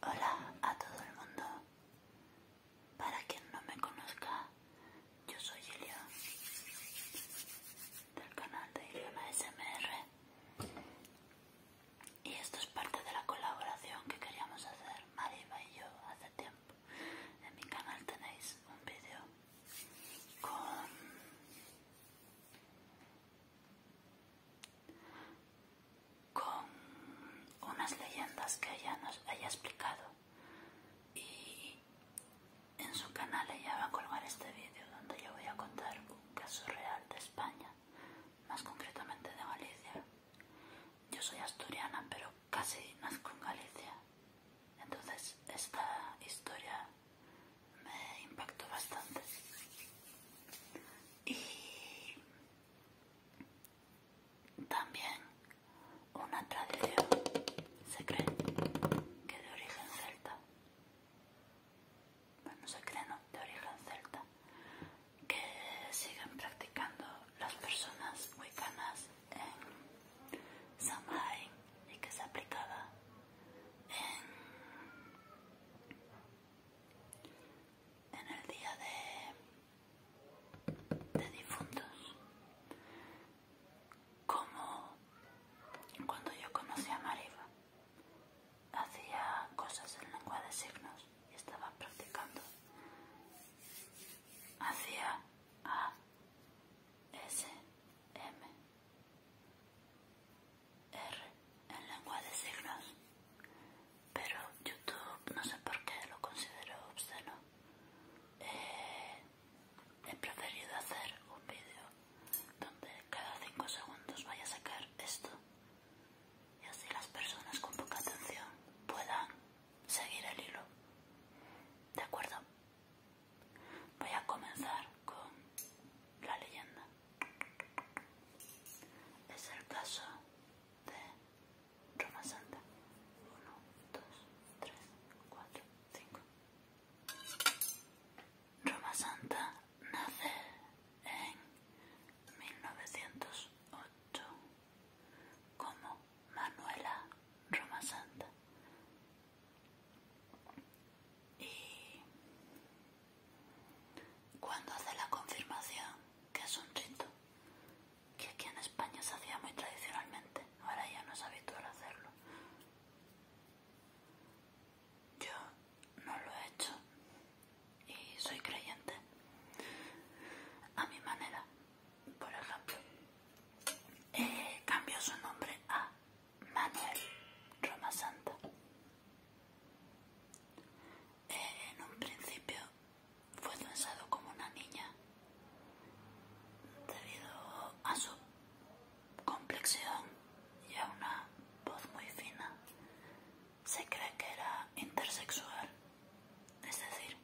Hola a todo el mundo. Para quien no me conozca, yo soy Elia del canal de y esto es parte de la colaboración que queríamos hacer Mariva y yo hace tiempo en mi canal tenéis un vídeo con con unas leyendas que ella nos haya explicado y en su canal ella va a colgar este vídeo donde yo voy a contar un caso real de España, más concretamente de Galicia. Yo soy asturiana, pero casi nazco en Galicia. Entonces esta historia me impactó bastante. Y también una tradición se cree que de origen celta bueno, se crean de origen celta, que siguen practicando las personas wicanas en Samhain y que se aplicaba en, en el día de, de difuntos como cuando yo conocí a Mariva. Hacía cosas en lengua de signos y estaba practicando. Hacía A, S, M, R en lengua de signos. Pero YouTube, no sé por qué, lo considero obsceno. Eh, he preferido hacer un vídeo donde cada 5 segundos vaya a sacar esto y así las personas con poca atención puedan seguir el hilo. ¿De acuerdo? Voy a comenzar con la leyenda. Es el caso de Roma Santa. 1, 2, 3, 4, 5. Roma Santa nace en 1908 como Manuela Roma Santa y cuando hace la confirmación, que es un rito que aquí en España se hacía muy tradicionalmente, ahora ya no es habitual hacerlo. Yo no lo he hecho y soy creyente a mi manera. Por ejemplo, eh, cambió su nombre a Manuel Roma Santa. Eh, en un principio fue pensado como una niña debido a su complexión y a una voz muy fina. Se cree que era intersexual, es decir,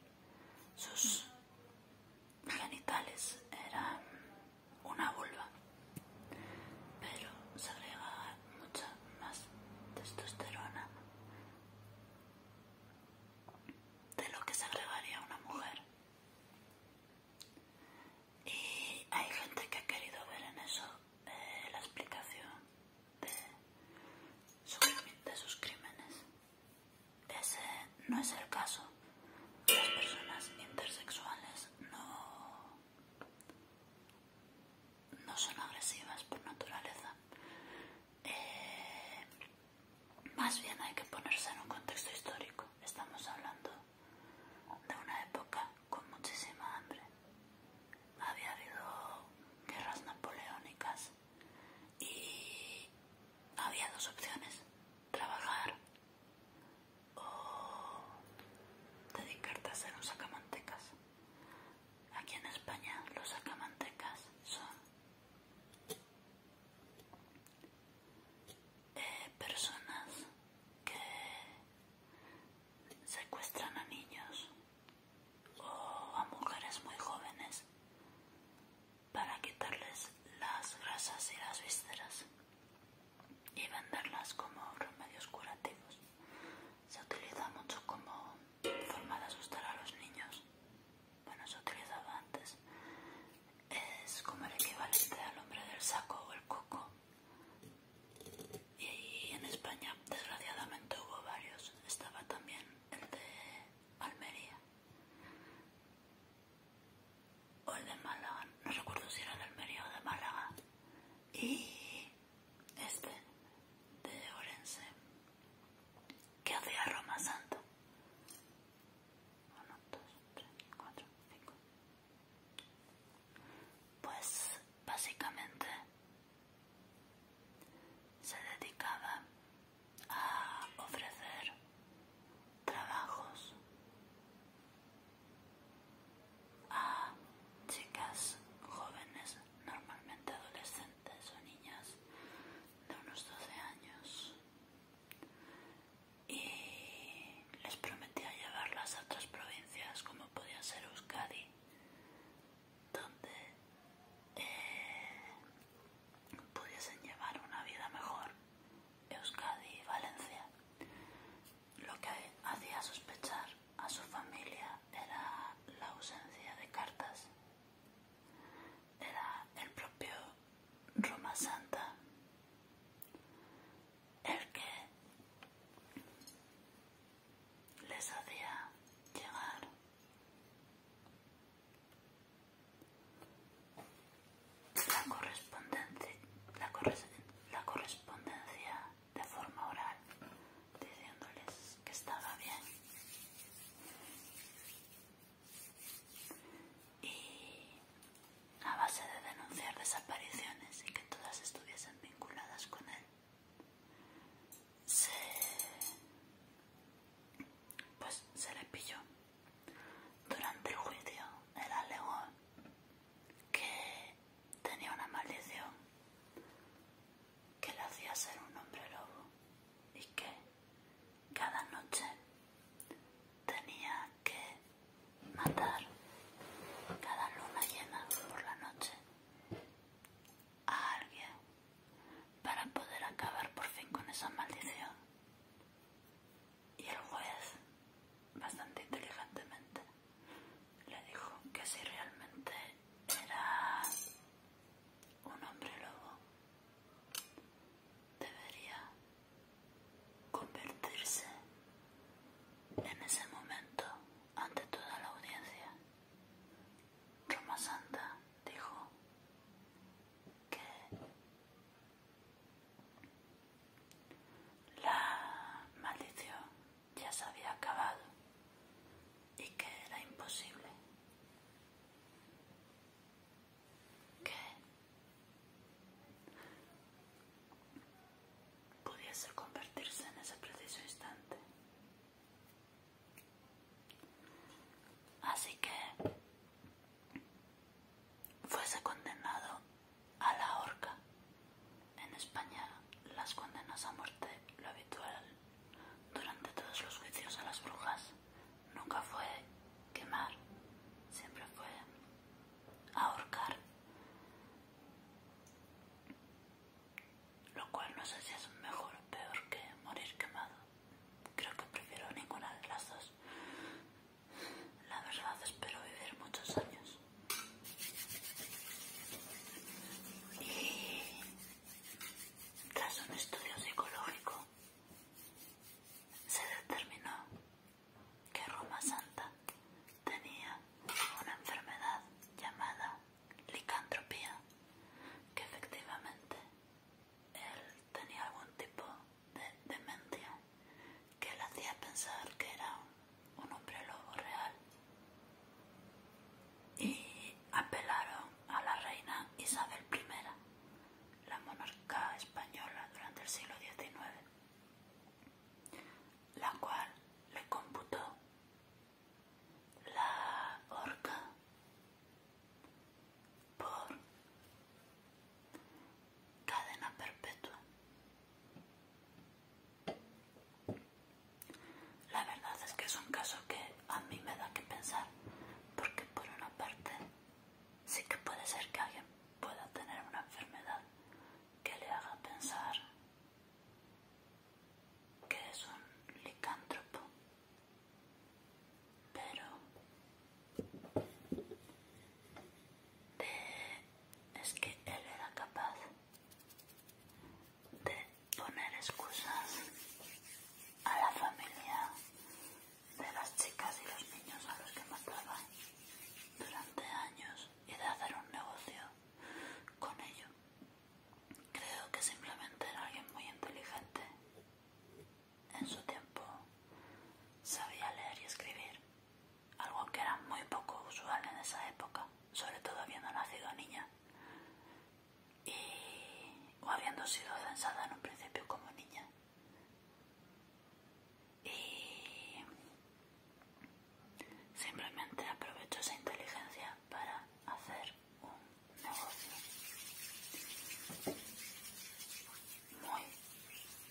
sus genitales eran una vulva, pero se agregaba mucha más testosterona de lo que se agregaría una mujer. Y hay gente que ha querido ver en eso eh, la explicación de, sus crímenes. Ese no es el caso. Las personas intersexuales no, no son agresivas por naturaleza. Eh, más bien hay que ponerse en un contexto histórico. Estamos hablando de una época con muchísima hambre. Había habido guerras napoleónicas y había dos opciones, trabajar o dedicarte a hacer un sacamantecas. Aquí en España los sacamantecas son eh, personas que secuestran a niños o a mujeres muy jóvenes para quitarles las grasas y las vísceras y venderlas como remedios curativos. Se utiliza mucho como forma de asustar a los niños. Bueno, se utilizaba antes es como el equivalente al hombre del saco o el coco. Y en España, desgraciadamente, hubo varios. Estaba también el de Almería o el de Málaga. No recuerdo si era de Almería o de Málaga. Y este de Orense que hacía Roma Santo. uno dos tres cuatro pues básicamente se dedicaba a ofrecer trabajos a chicas jóvenes, normalmente adolescentes o niñas de unos 12 años y les prometía llevarlas a otras provincias como podía ser Euskadi donde eh, pudiesen llevar una vida mejor Euskadi y Valencia lo que hacía sospechar a su familia era la ausencia de cartas era el propio Roma Santa el que les hacía llegar la correspondencia, la correspondencia de forma oral diciéndoles que estaba bien y a base de denunciar desapariciones y que todas estuviesen vinculadas con él, se, pues, se le pilló. Durante el juicio, él alegó que tenía una maldición que le hacía ser un hombre lobo y que cada noche tenía que matar cada luna llena por la noche a alguien para poder acabar por fin con esa maldición. Y el juez, bastante inteligentemente, le dijo que si realmente era un hombre lobo, debería convertirse en ese momento ante toda la audiencia. Roma Santa dijo que la maldición ya se había acabado y que era imposible que pudiese convertirse en ese preciso instante. Así que fuese condenado a la horca. En España las condenas a muerte, lo habitual durante todos los juicios a las brujas, nunca fue quemar, siempre fue ahorcar lo cual no sé si es mejor o peor que morir quemado creo que prefiero ninguna de las dos la verdad espero vivir muchos años y tras un estudio psicológico se determinó que Roma Santa tenía una enfermedad llamada licantropía, que efectivamente él tenía algún tipo de demencia que le hacía pensar que era un hombre lobo real. Y apelaron a la reina Isabel I, la monarca española durante el siglo XIX la cual le computó la horca por cadena perpetua. La verdad es que es un caso que a mí me da que pensar, porque por una parte sí que puede ser que alguien pueda tener una enfermedad que le haga pensar que es un licántropo, pero es que él era capaz de poner excusas a la familia de las chicas y los niños a los que mataban. Durante años y de hacer un negocio con ello. Creo que simplemente era alguien muy inteligente. En su tiempo sabía leer y escribir, algo que era muy poco usual en esa época, sobre todo habiendo nacido niña y o habiendo sido censada en un principio como niña y simplemente aprovecho esa inteligencia para hacer un negocio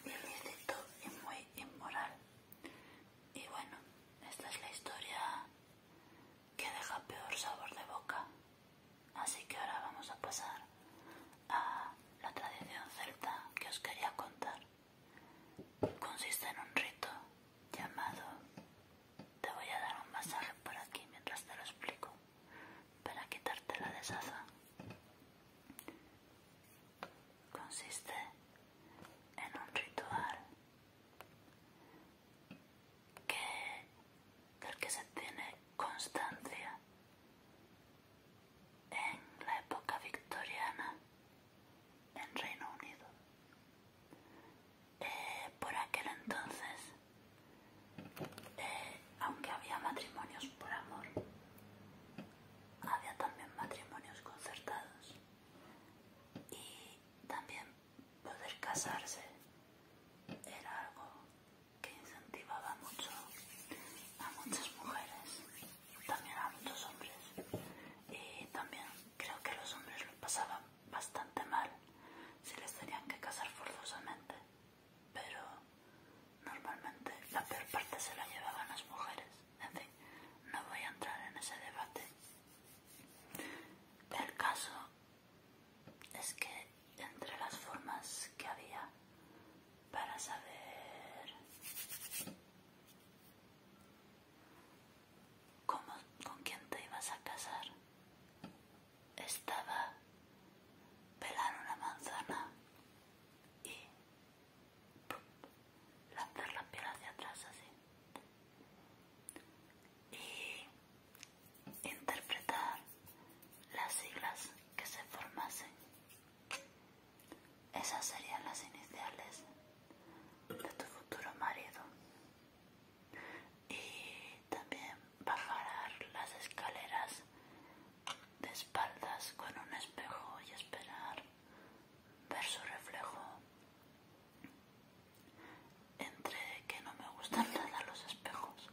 muy ilícito y muy inmoral y bueno esta es la historia que deja peor sabor de boca así que ahora vamos a pasar a la tradición celta que os quería contar consiste en un rito llamado te voy a dar un masaje por aquí mientras te lo explico para quitarte la desaza consiste en un ritual que del que se tiene constancia en la época victoriana en Reino Unido. Eh, por aquel entonces, eh, aunque había matrimonios por amor, había también matrimonios concertados y también poder casarse era algo que incentivaba mucho a muchas mujeres también a muchos hombres y también creo que los hombres lo pasaban bastante mal si les tenían que casar forzosamente pero normalmente la peor parte se la llevaban las mujeres en fin no voy a entrar en ese debate el caso es que entre las formas que había para saber con quién te ibas a casar. Estaba pelar una manzana y lanzar la piel hacia atrás así y interpretar las siglas que se formasen esas serían las iniciales de tu futuro marido. Y también bajar las escaleras de espaldas con un espejo y esperar ver su reflejo. Entre que no me gustan nada los espejos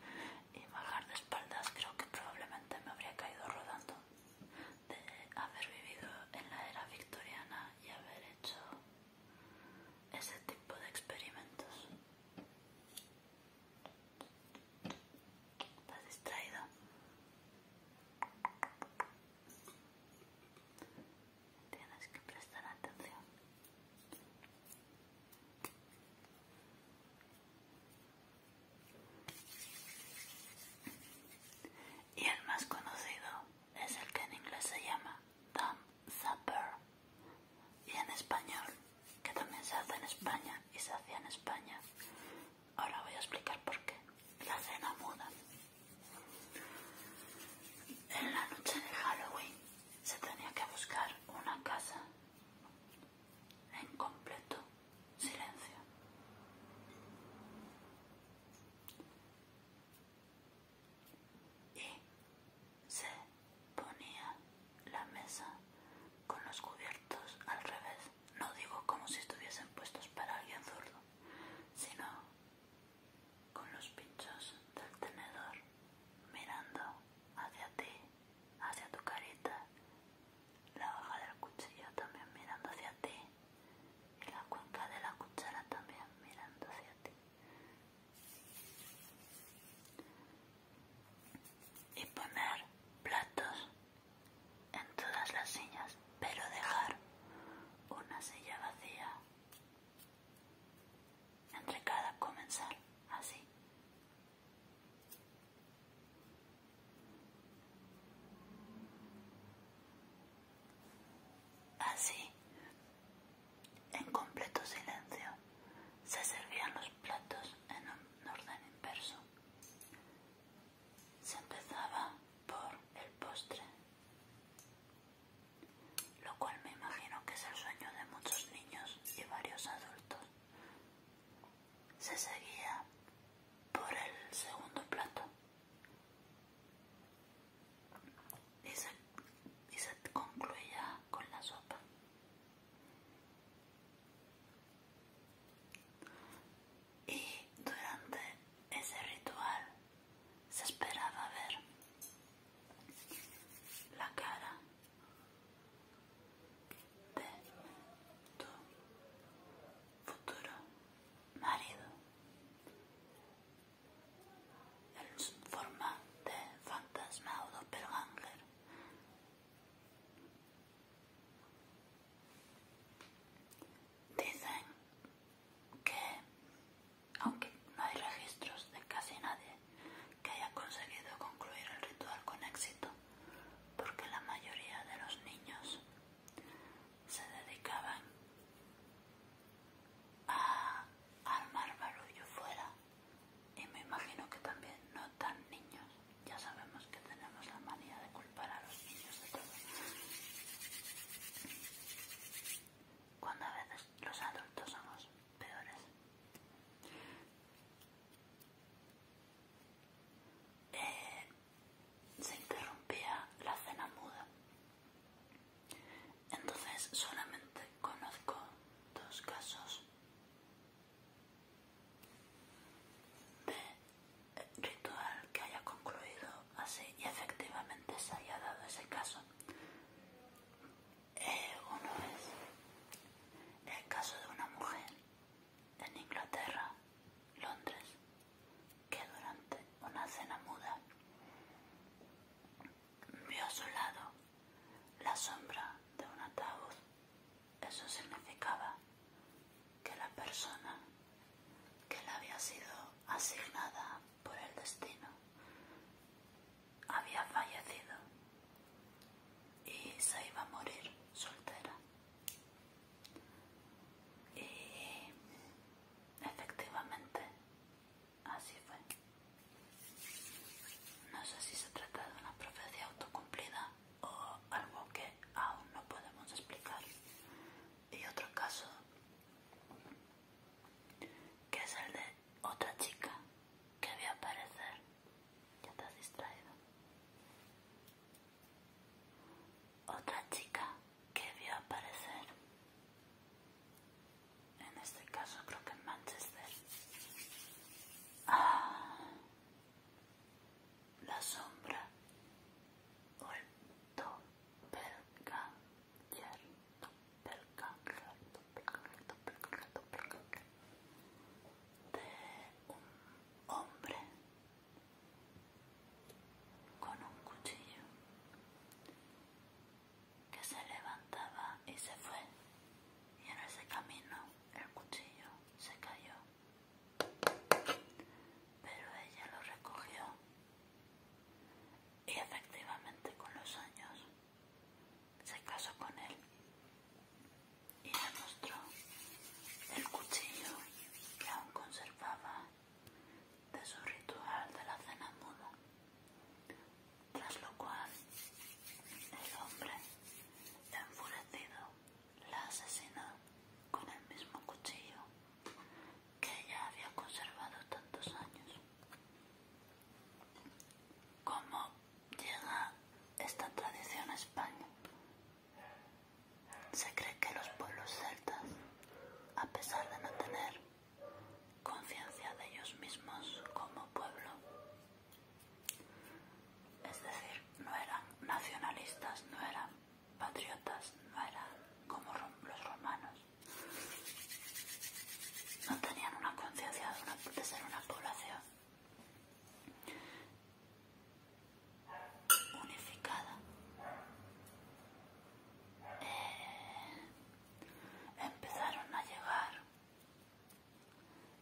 y bajar de espaldas creo que probablemente me habría caído rodando de haber vivido en la era victoriana y haber hecho ese tipo de experimentos. ¿Estás distraído? Tienes que prestar atención. Y el más conocido es el que en inglés se llama Dumb Supper. Y en español, que también se hace en España y se hacía en España. Ahora voy a explicar por qué. La cena muda. En la noche de Halloween se tenía que buscar una casa en completo silencio. Y se ponía la mesa con los cubiertos al revés. No digo como si estuviesen puestos para alguien zurdo, sino con los pinchos del tenedor mirando hacia ti, hacia tu carita la hoja del cuchillo también mirando hacia ti y la cuenca de la cuchara también mirando hacia ti y poner platos en todas las sillas pero dejar una silla vacía entre cada comensal así Así, en completo silencio, se servían los platos en un orden inverso. Se empezaba por el postre, lo cual me imagino que es el sueño de muchos niños y varios adultos se seguía por el segundo plato y se, concluía con la sopa. Y durante ese ritual se esperaba ver la cara tu futuro marido en forma de fantasma o doppelganger. Dicen que, aunque no hay registros de casi nadie que haya conseguido concluir el ritual con éxito, porque la mayoría de los niños se dedicaban a armar barullo fuera y me imagino que también no tan niños. Ya sabemos que tenemos la manía de culpar a los niños de todo. Cuando a veces los adultos somos peores. Eh, se interrumpía la cena muda. Entonces solamente conozco dos casos de ritual que haya concluido así y efectivamente se haya dado ese caso. Eh, uno es el caso de una mujer en Inglaterra, Londres, que durante una cena muda vio a su lado la sombra de un ataúd. Eso significaba que la persona que le había sido asignada por el destino había fallecido y se iba a morir soltera. Y eh, efectivamente, así fue. No sé si se trata de una profecía autocumplida o algo que aún no podemos explicar. Y otro caso, que es el de otra chica que había aparecer. Ya te has distraído otra chica que vio aparecer en este caso creo que en Manchester ah, la sombra de un hombre con un cuchillo que se levantaba y se fue y en ese camino el cuchillo se cayó pero ella lo recogió y efectivamente con los años se casó con él y le mostró el cuchillo que aún conservaba de su ritual de la cena muda, tras lo cual el hombre, enfurecido, la asesinó con el mismo cuchillo que ella había conservado tantos años. ¿Cómo llega esta tradición a España? Se cree que los pueblos celtas, a pesar de no tener conciencia de ellos mismos como pueblo, es decir, no eran nacionalistas, no eran patriotas, no eran como los romanos, no tenían una conciencia de, ser una población unificada eh, empezaron a llegar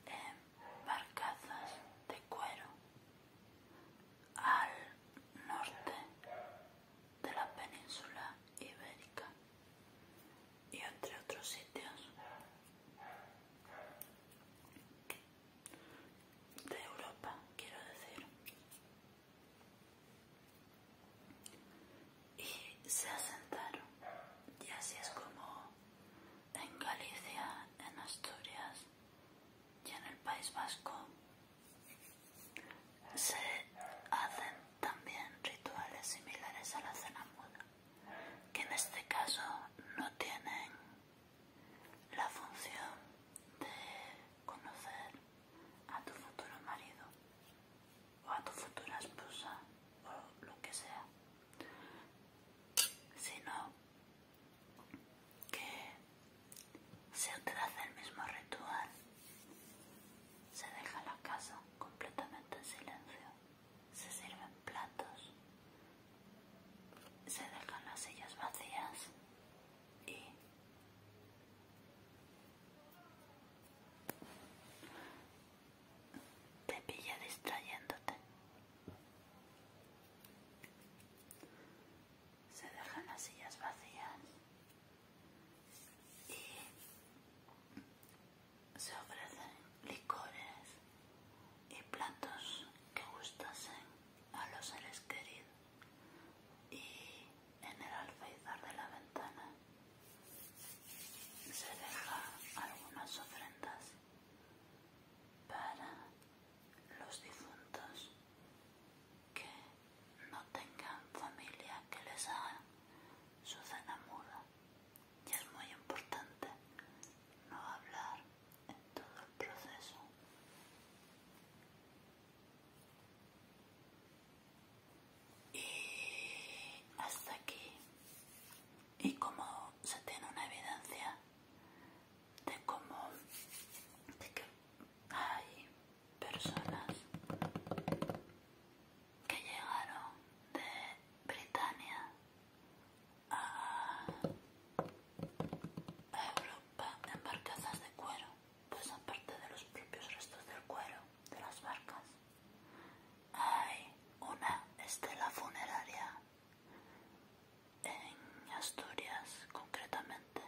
en eh, barcazas de cuero al norte de la península ibérica y entre otros sitios de Europa, quiero decir. Y se asentaron. Y así es como en Galicia, en Asturias y en el País Vasco se hacen también rituales similares a la cena muda, que en este caso no tienen la función de conocer a tu futuro marido o a tu futura esposa o lo que sea sino que se hace el mismo ritual se deja la casa completamente en silencio se sirven platos se dejan las sillas vacías y te pilla distrayéndote. Se dejan las sillas vacías y se ofrecen licores y platos que gustasen a los seres queridos y en el alféizar de la ventana se deja algunas ofrendas para los difuntos que no tengan familia que les haga su cena muda y es muy importante no hablar en todo el proceso. Y hasta aquí. Y como se tiene una evidencia de cómo que hay personas que llegaron de Britania a, ah, Europa en barcazas de cuero, pues aparte de los propios restos del cuero de las barcas, hay una estela funeraria en Asturias, concretamente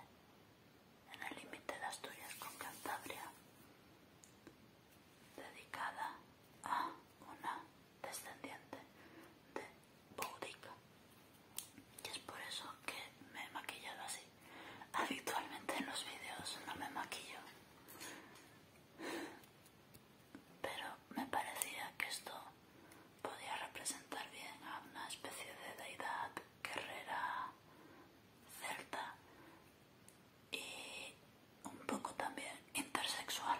en el límite de Asturias con Cantabria, dedicada a una descendiente de Boudica. Y es por eso que me he maquillado así. Habitualmente en los vídeos no me maquillo. Pero me parecía que esto podía representar bien a una especie de deidad guerrera celta y un poco también intersexual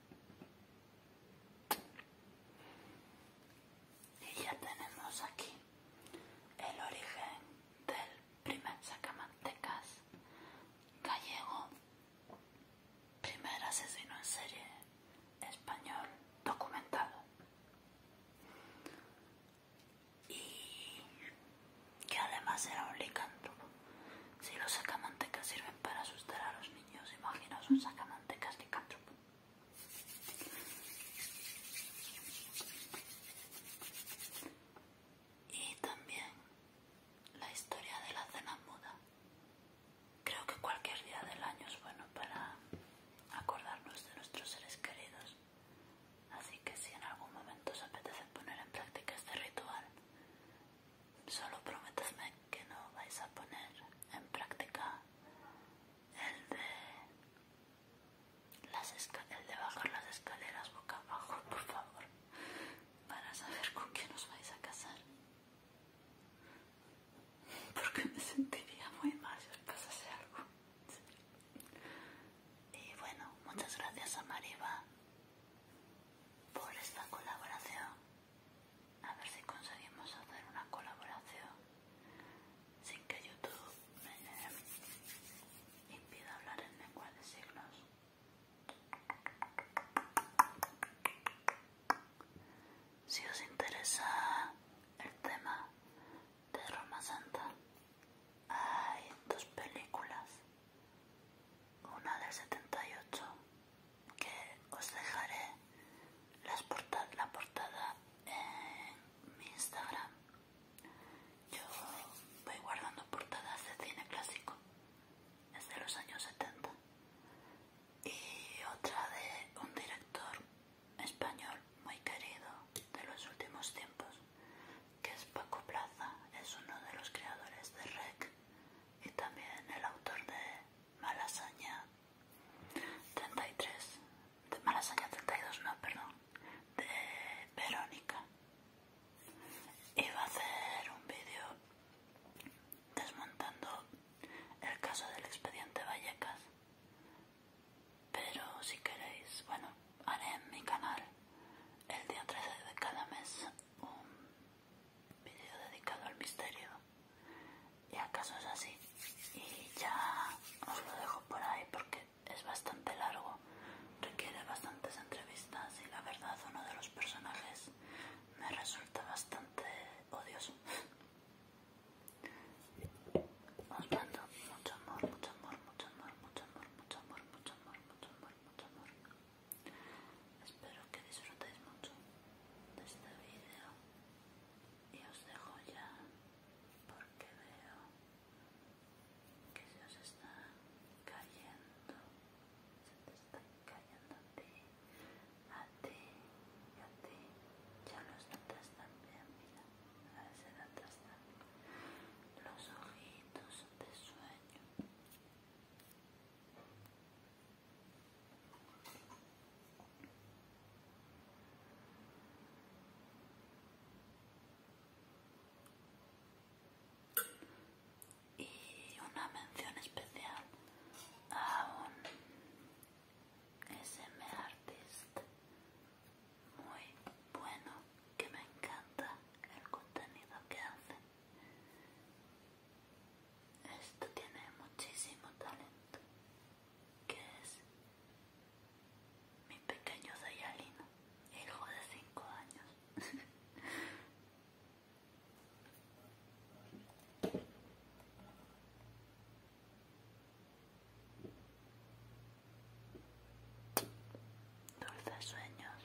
Y ya tenemos aquí el origen del primer sacamantecas gallego, primer asesino en serie español documentado. Y que además era un licántropo. Si los sacamantecas sirven para asustar a los niños, imaginaos un sacamantecas licántropo. Y también la historia de la cena muda. Creo que cualquier día del año es bueno para acordarnos de nuestros seres queridos. Así que si en algún momento os apetece poner en práctica este ritual, solo prometedme que no vais a poner en práctica el de, las el de bajar las escaleras boca abajo por favor para saber con quién nos vais a casar porque me sentiría muy mal si os pasase algo y bueno muchas gracias a Mariva por esta colaboración a ver si conseguimos hacer una colaboración sin que YouTube me eh, impida hablar en lengua de signos. Si os interesa el tema de Roma Santa, hay dos películas, una de 78 que os dejaré la portada en mi Instagram. Yo voy guardando portadas de cine clásico desde los años 70 y otra de un director español muy querido de los últimos tiempos que es Paco Plaza, es uno de los creadores de REC y también el autor de Malasaña 33, de Malasaña 32, no, perdón, de Verónica. Iba a hacer un vídeo desmontando el caso del expediente Vallecas, pero si queréis, bueno, haré en mi canal el día 13 de cada mes un video dedicado al misterio y acaso es así y ya os lo dejo por ahí porque es bastante largo requiere bastantes entrevistas y la verdad uno de los personajes me resulta bastante odioso os mando mucho amor, mucho amor, mucho amor, mucho amor, mucho amor, mucho amor, mucho amor, mucho amor. Espero que disfrutéis mucho de este vídeo y os dejo ya porque veo que se os está cayendo se te está cayendo a ti a ti y a ti ya los están también mira a ver si notas los ojitos de sueño y una mención especial a un SM Artist muy bueno que me encanta el contenido que hace esto tiene muchísimo talento, que es mi pequeño Sayalino, hijo de cinco años. Dulces sueños.